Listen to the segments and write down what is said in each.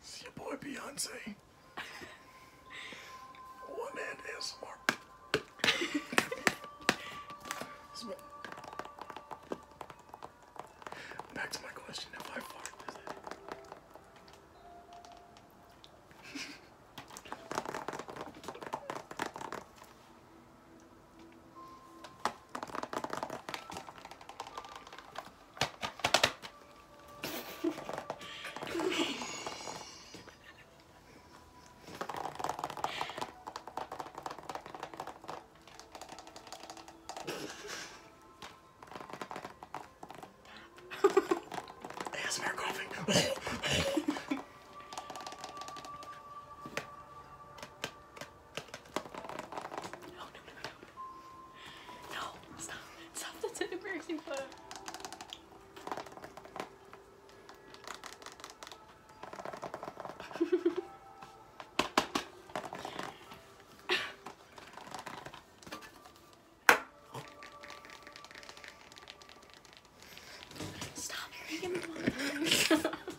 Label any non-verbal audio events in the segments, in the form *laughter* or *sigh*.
It's your boy Beyonce. One man ASMR. Back to my question if I fart, does it? *laughs* ASMR coughing. No, no, no, no. No, stop. Stop, that's an embarrassing photo. Stop, you're gonna give me one.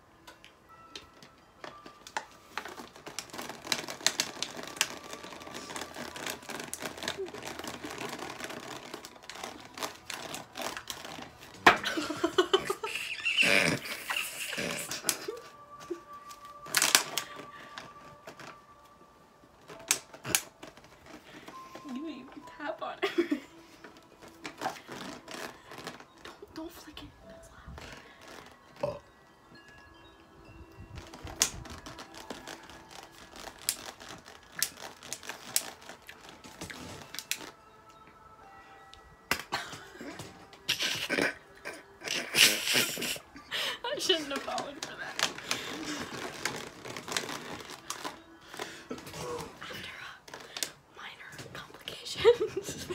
*laughs* don't flick it. That's loud. Oh. I shouldn't have fallen for that. After a minor complications. *laughs*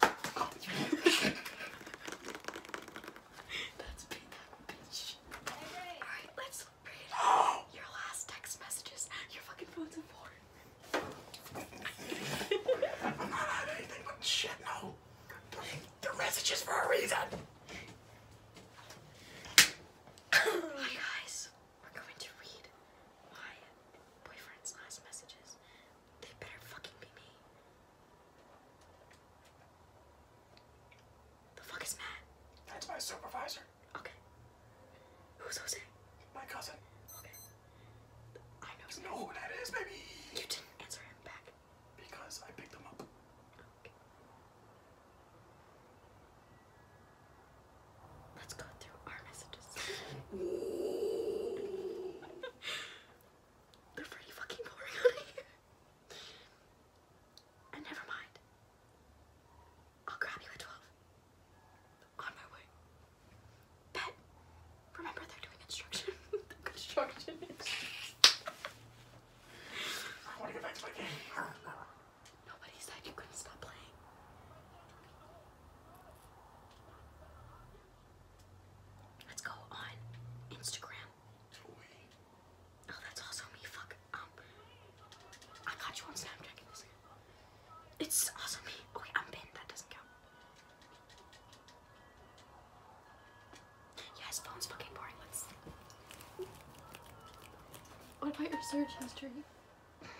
That's been that bitch. Alright, let's read *gasps* your last text messages. Your fucking phone's a i I'm not out anything but shit, no. The are messages for a reason. Hi guys, we're going to read my boyfriend's last messages. They better fucking be me. The fuck is Matt? That's my supervisor. Okay. Who's Jose? My cousin. Okay. I know. who that is, baby. You didn't answer him back. Because I picked him up. Okay. Let's go through our messages. *laughs* They're pretty fucking boring on And never mind. I'll grab you at 12. On my way. But remember they're doing instruction. *laughs* Construction. I want to get back to my game. Nobody said you couldn't stop playing. Let's go on Instagram. Oh, that's also me. Fuck. Um, I got you on Snapchat. It's also me. Okay, I'm pinned. That doesn't count. Yeah, phone's fucking boring. What about your search history? *laughs* Can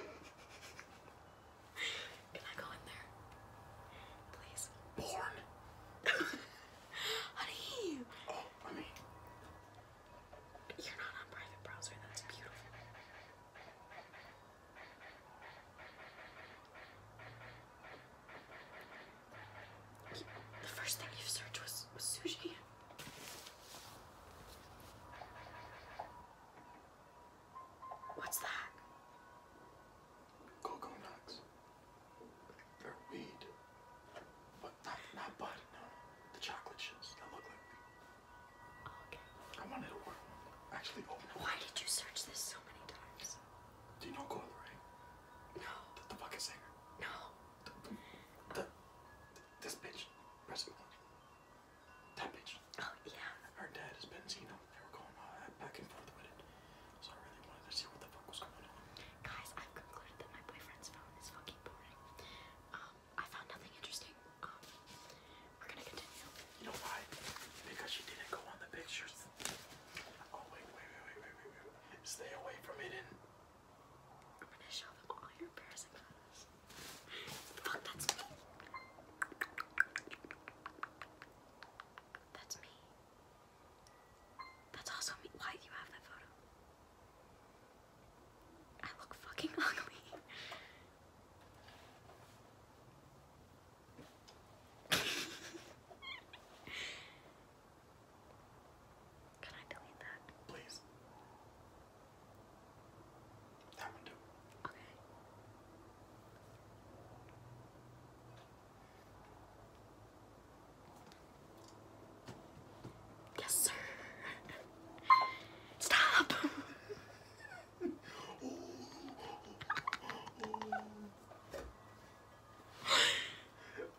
I go in there? Please. Porn. *laughs* Honey! Oh, honey. You're not on private browser. That's beautiful. The first thing you searched was, sushi. What's that? Coconuts. They're weed. But not not bud, no. The chocolate chips that look like weed. Okay. I wanted to work. Actually open Why did you search this so many times? Do you know Coil Ray? No. The, the bucket singer? No. The, the, the this bitch. That bitch. Oh yeah. Her dad is Benzino. They were going uh, back and forth with it. I Guys, I've concluded that my boyfriend's phone is fucking boring. Um, I found nothing interesting. Um, we're gonna continue. You know why? Because she didn't go on the pictures. Oh wait, wait, wait, wait, wait, wait, Stay away from it I'm gonna show them all your embarrassing photos. Fuck, that's me. That's me. That's also me. Why do you have that photo? I look fucking *laughs* ugly. Can I delete that? Please. That one Okay. Yes, sir. Stop.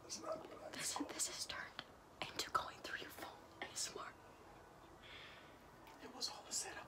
That's not what this, this is turned into going through your phone ASMR. It was all a setup.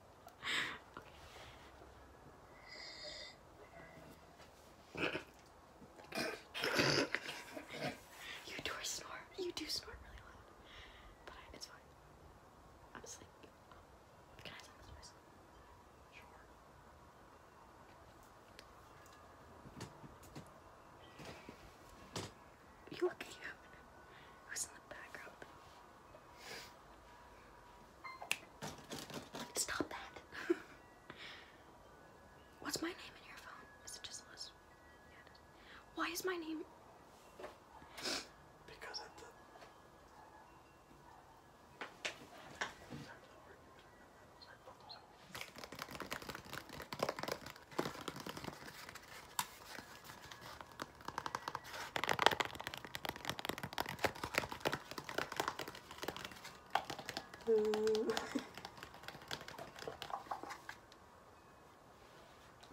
you do snore. You do snore really loud. But it's fine. I'm asleep. Oh, can I talk this voice? you looking at who's in the background? Stop that. *laughs* What's my name in your phone? Is it just Liz? Why is my name? Because at the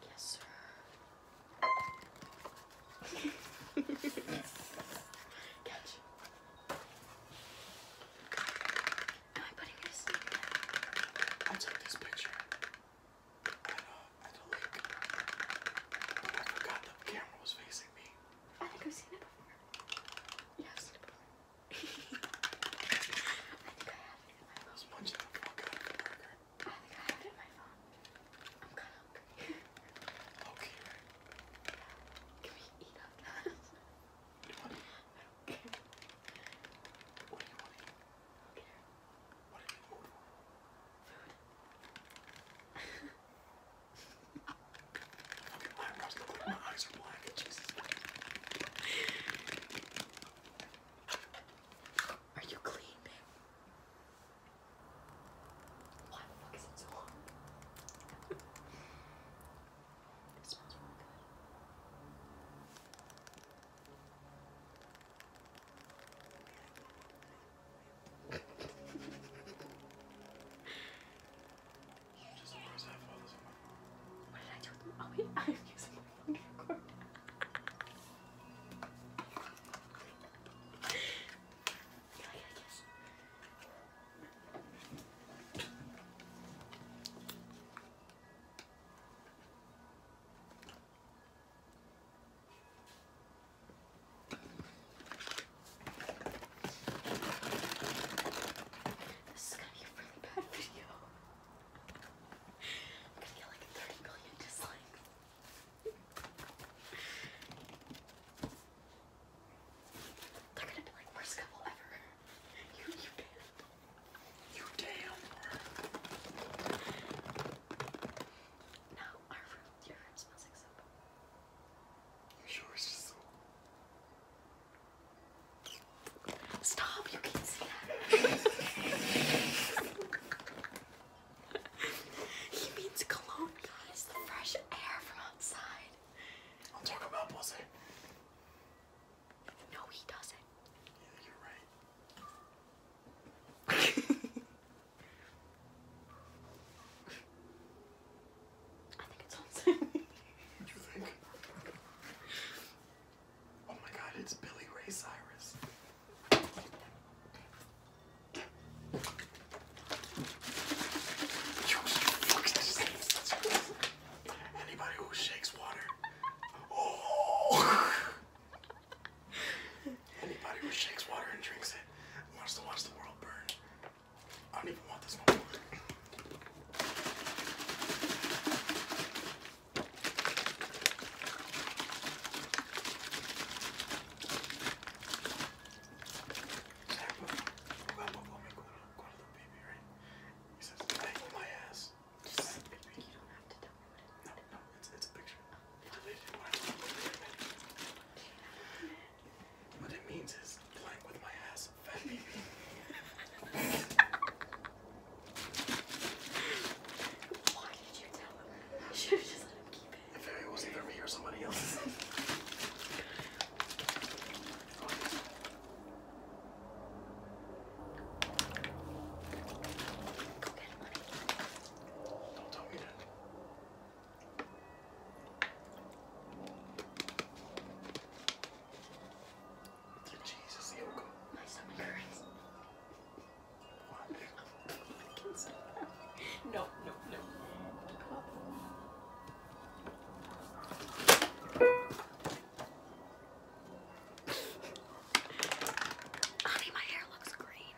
yes, sir. Catch. *laughs* Am I putting this I'll this picture at the lake. But I forgot the camera was facing me. I think I've seen it before. Yeah, I've seen it before. I think I have it in my phone. I was munching the fuck out of the burger. I think I have it in my phone. I'm kind of hungry. okay, right? Can we eat up that? What do you want to eat? I don't care. What do you want to eat? I don't care. What did you order? Food. okay, my eyebrows look like my eyes are black. Jesus. Are you clean, babe? Why the fuck is it so hard? *laughs* it smells really good. Just press that while this What did I do with them? Oh wait, I'm using my phone to record. yeah, yeah, yes. This is gonna be a really bad *laughs* video. I'm gonna get like 30 million dislikes. They're gonna be like, worst couple ever. You, you damn. You damn. Now our room, your room smells like soap. You sure Stop! You can't see that. he means cologne, guys. The fresh air from outside. I'll talk about pussy. No, he doesn't. you're right. *laughs* I think it's on Sammy. *laughs* you think? Oh my god, it's Billy Ray Cyrus. Anybody who shakes water. Oh! *laughs* Anybody who shakes water and drinks it wants to watch the world burn. I don't even want this no more. He says, my ass. you don't have to no, no, it's it's a picture. What it means is playing with my ass, Why did you tell him? You should have just let him keep it. If it was either me or somebody else. Go get money. Don't tell me that. Through Jesus, Yoko. My stomach hurts. What? I can't stop that. No, no, no. Honey, my hair looks green.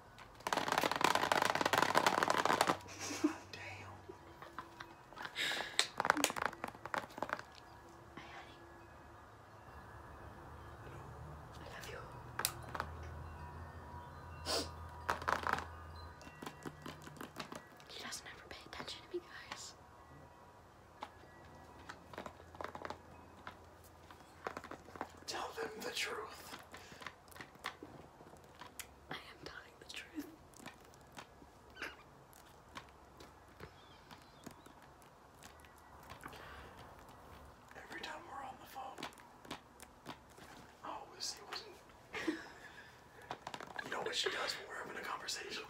He doesn't ever pay attention to me, guys. Tell them the truth. I am telling the truth. Every time we're on the phone, always see what's in You know what she does when we're having a conversation?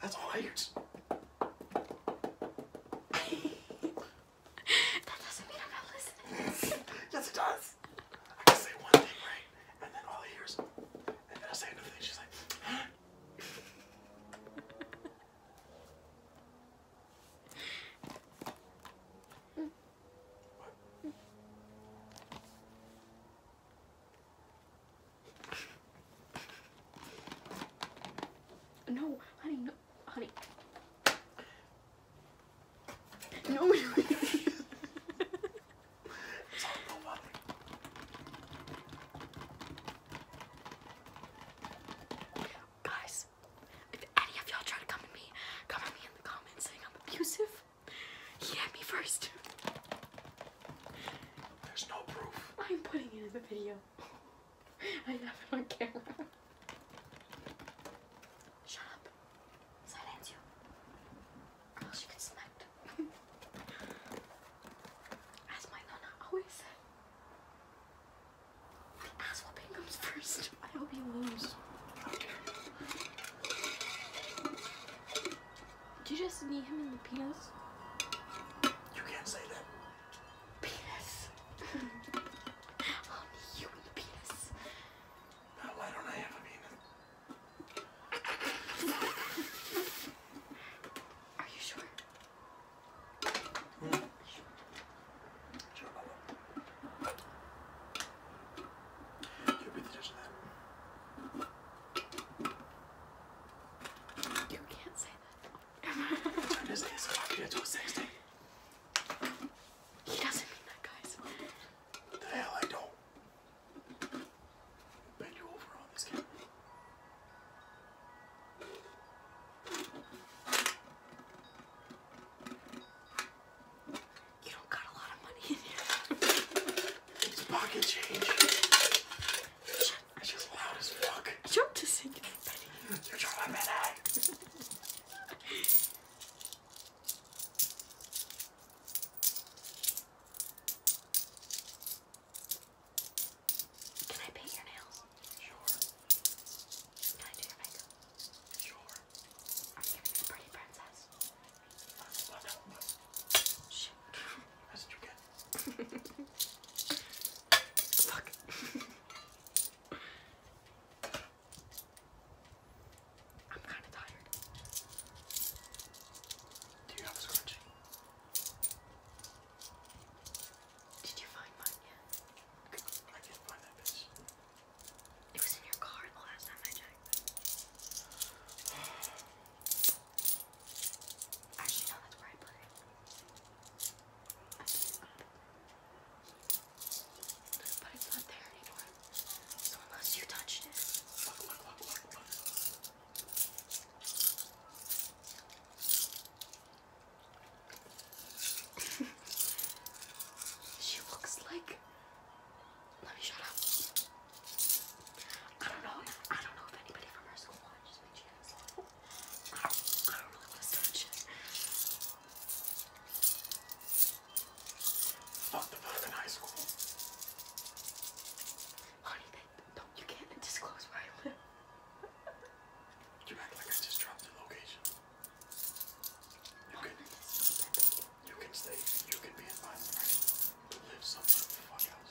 That's all I hear. *laughs* that doesn't mean I'm not listening. yes, it does. I say one thing, right? And then all he hears, and then I say another thing. She's like, *gasps* No, honey, no honey. No. Guys, if any of y'all try to come at me, come at me in the comments saying I'm abusive. He hit me first. There's no proof. I'm putting it in the video. I have it on camera. Shut up. Silence you. Or oh, else you get smacked. *laughs* As my nonna always said, the ass whooping first. I hope you lose. Did you just knee him in the penis? You can't say that. Penis. *laughs* I'll knee you in the penis. Why don't I have a penis? Are you sure? Mm. You'll be the judge of You can't say that. I'm just asking you to a 60. *laughs* He doesn't mean that, guys. The hell I don't. Bend you over on this camera. You don't got a lot of money in here. it's pocket change. Shut it's loud as fuck. You're just You're trying to *laughs* Can I paint your nails? Sure. Can I do your makeup? Sure. Are you gonna be a pretty princess? Uh, no, no. Shit. *laughs* That's too good. *laughs* Fuck. *laughs* I'm kind of tired. Do you have a scrunchie? Did you find mine yet? I can't find that It was in your car the last time I checked. Actually, no, that's where I put it but it's not there anymore. unless you touched it. *laughs* she looks like let me shut up. I don't know. I don't know if anybody from our school watches I don't, really want to start shit. Fuck the fuck in high school. Honey, they, no, you can't disclose where you act like I just dropped your location. You can, you can stay, you can be in my live somewhere else. Somewhere else.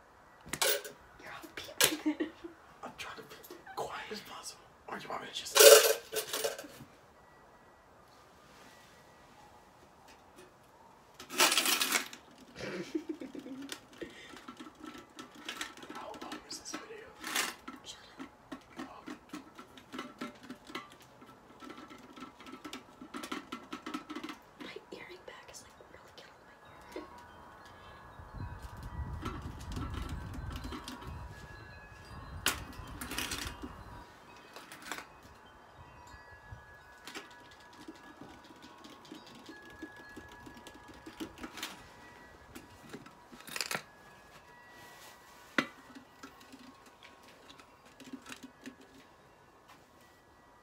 I'm trying to be quiet as possible. Or you want me to just... *laughs* How long is this video? my earring back is like really killing my ear.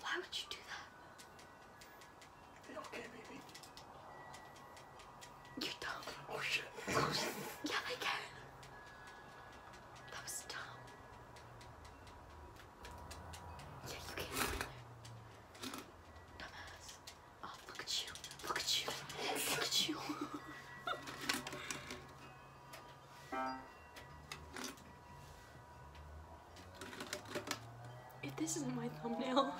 Why would you do that? They don't care, baby. You dumb. Oh shit. yeah, they can. That was dumb. Yeah, you came in there. Dumbass. Oh, look you. Look you. Look you. *laughs* If this isn't my thumbnail.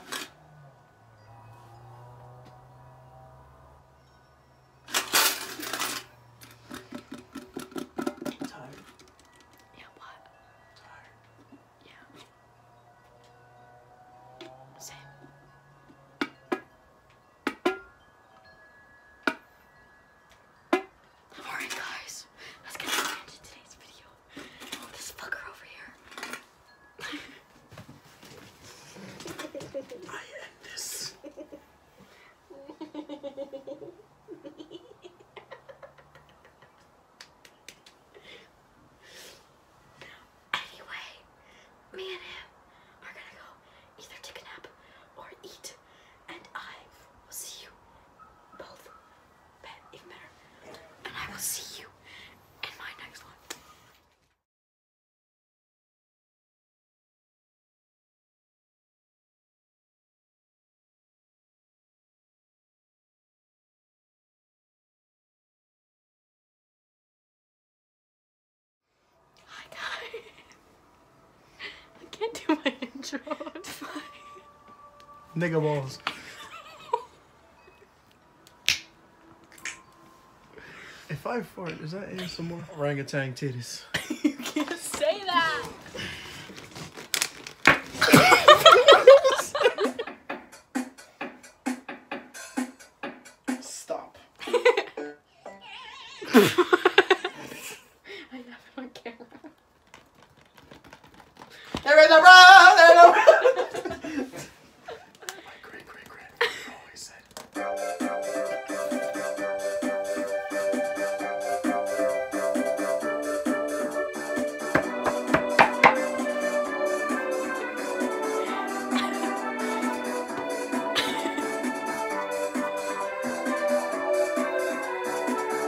Alright guys, that's gonna be the end of today's video. This fucker over here. *laughs* I end this. anyway, me and him are gonna go either take a nap or eat, and I will see you both even better. And I will see you in my next one. Hi guys. *laughs* I can't do my *laughs* intro. Nigga balls. if I fart, is that more Orangutan titties. *laughs* you can't say that. Stop. *laughs* I have it on camera. There is a road! There is a road! My great great great always said.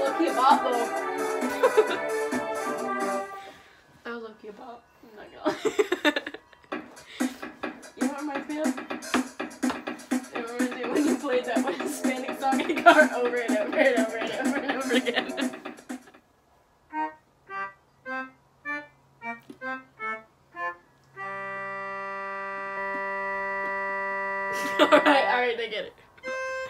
Look, he bought them. *laughs* I'll look you about. I'm not gonna *laughs* You know what reminds me of? It reminds me when you played that one Hispanic song in car over and over and over and over and over again. *laughs* alright, alright, I get it.